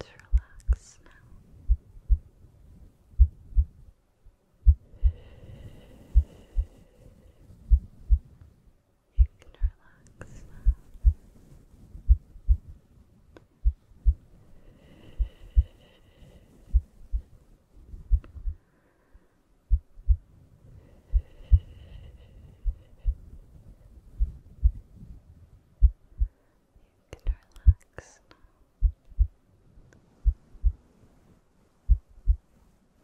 Let's relax now. Relax. You can relax now. You can relax now.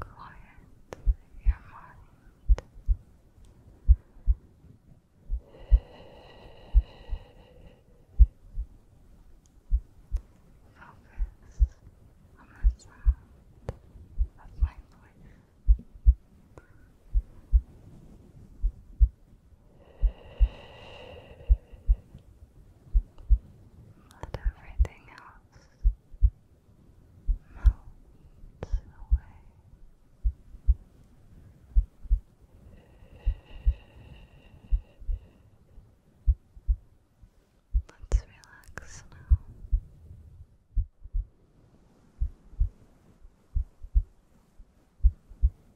Quiet your mind. Focus on the sound of my voice. Let everything else melt away. Let's relax now.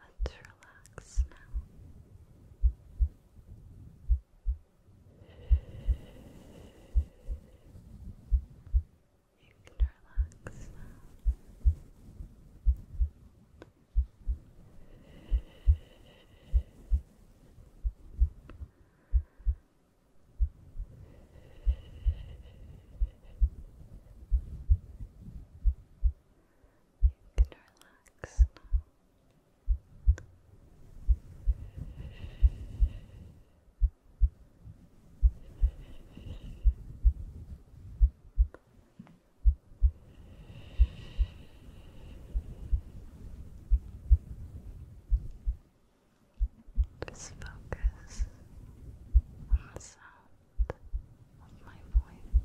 Let's relax now. You can relax now. You can relax now. Relax. Just focus on the sound of my voice.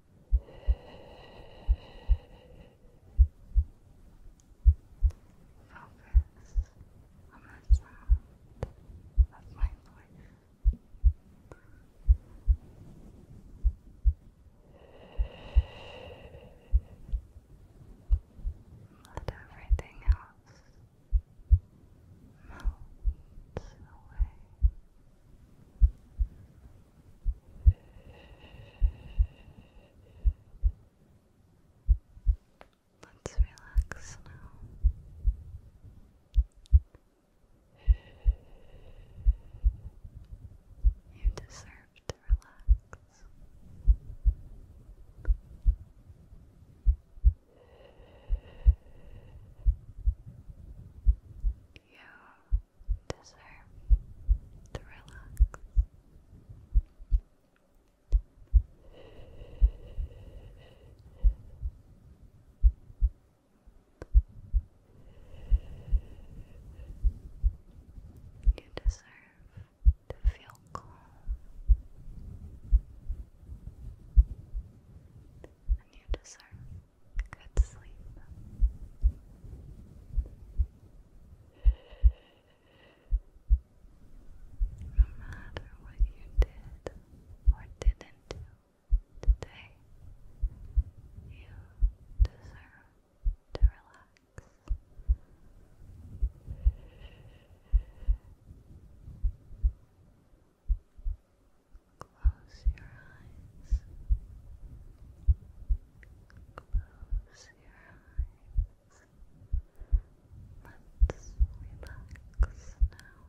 Focus on the sound of my voice. Let everything else melt away. Let's relax now. You deserve to relax. You deserve to relax. You deserve to feel calm and you deserve good sleep. No matter what you did or didn't do today, you deserve to relax. Close your eyes. Close your eyes. Let's relax now. Let's relax now. Relax.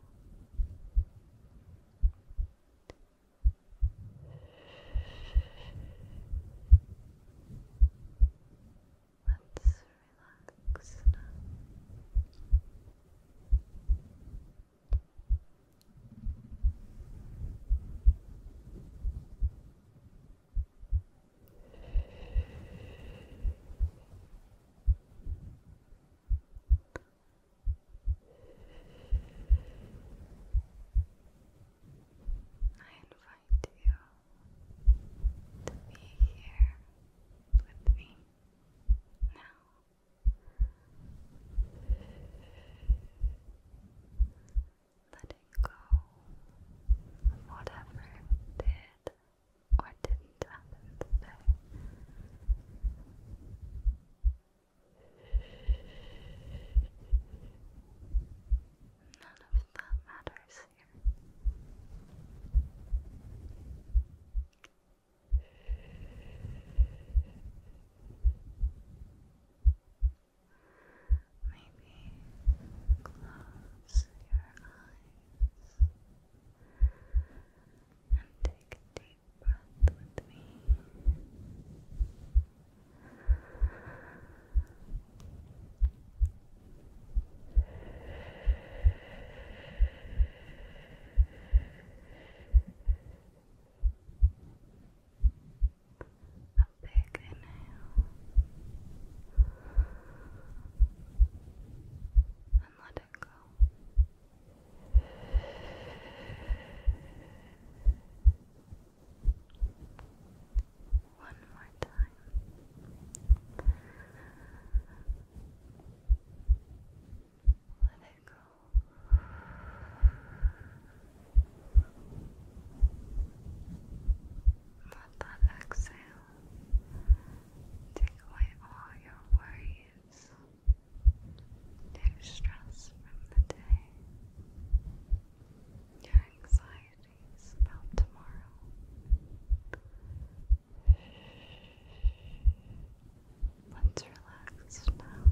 I invite you to be here with me now. Let it go whatever did or didn't happen today. None of that matters here. Maybe close your eyes and take a deep breath with me. A big inhale. And let it go. One more time. Let it go. Let that exhale take away all your worries, your stress from the day, your anxieties about tomorrow. Let's relax now.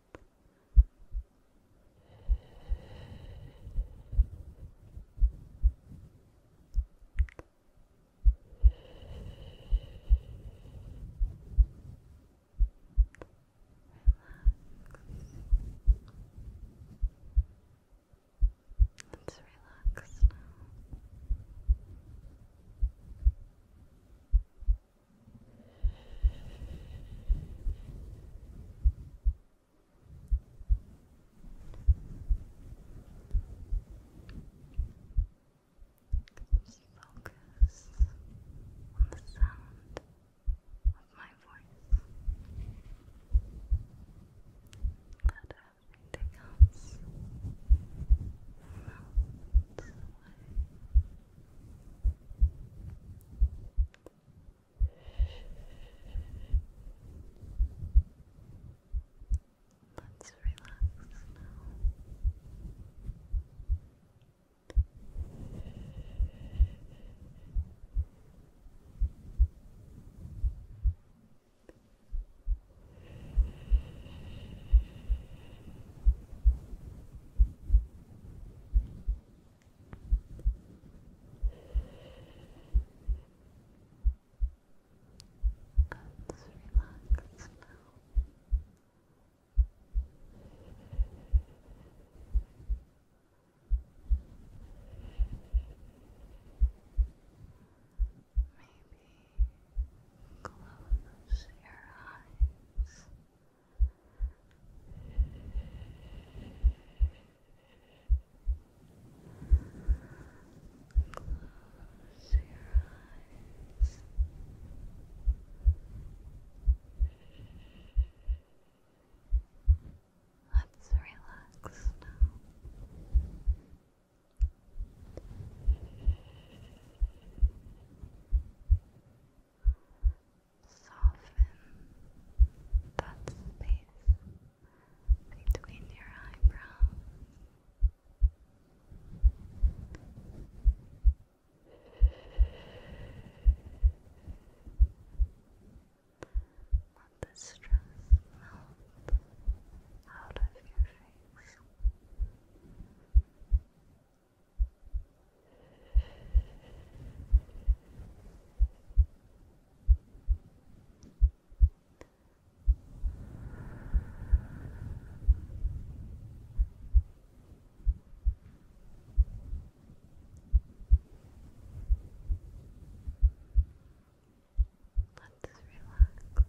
Let's relax now. Just focus on the sound of my voice. Let everything else melt away. Let's relax now. Relax. Let's relax Maybe close your eyes. Close your eyes. Let's relax now soften that space between your eyebrows. Let the stress melt out of your face. Let's relax now.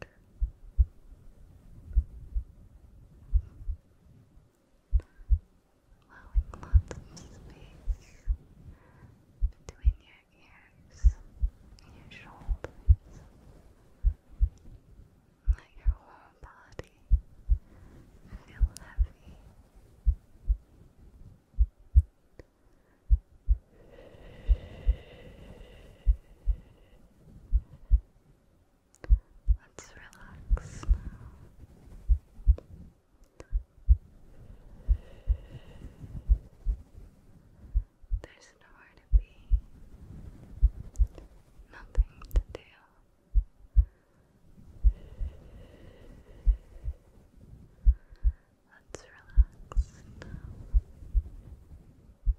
back. Allowing lots of space between your ears and your shoulders. Let your whole body feel heavy. Let's relax There's nowhere to be, nothing to do. Let's relax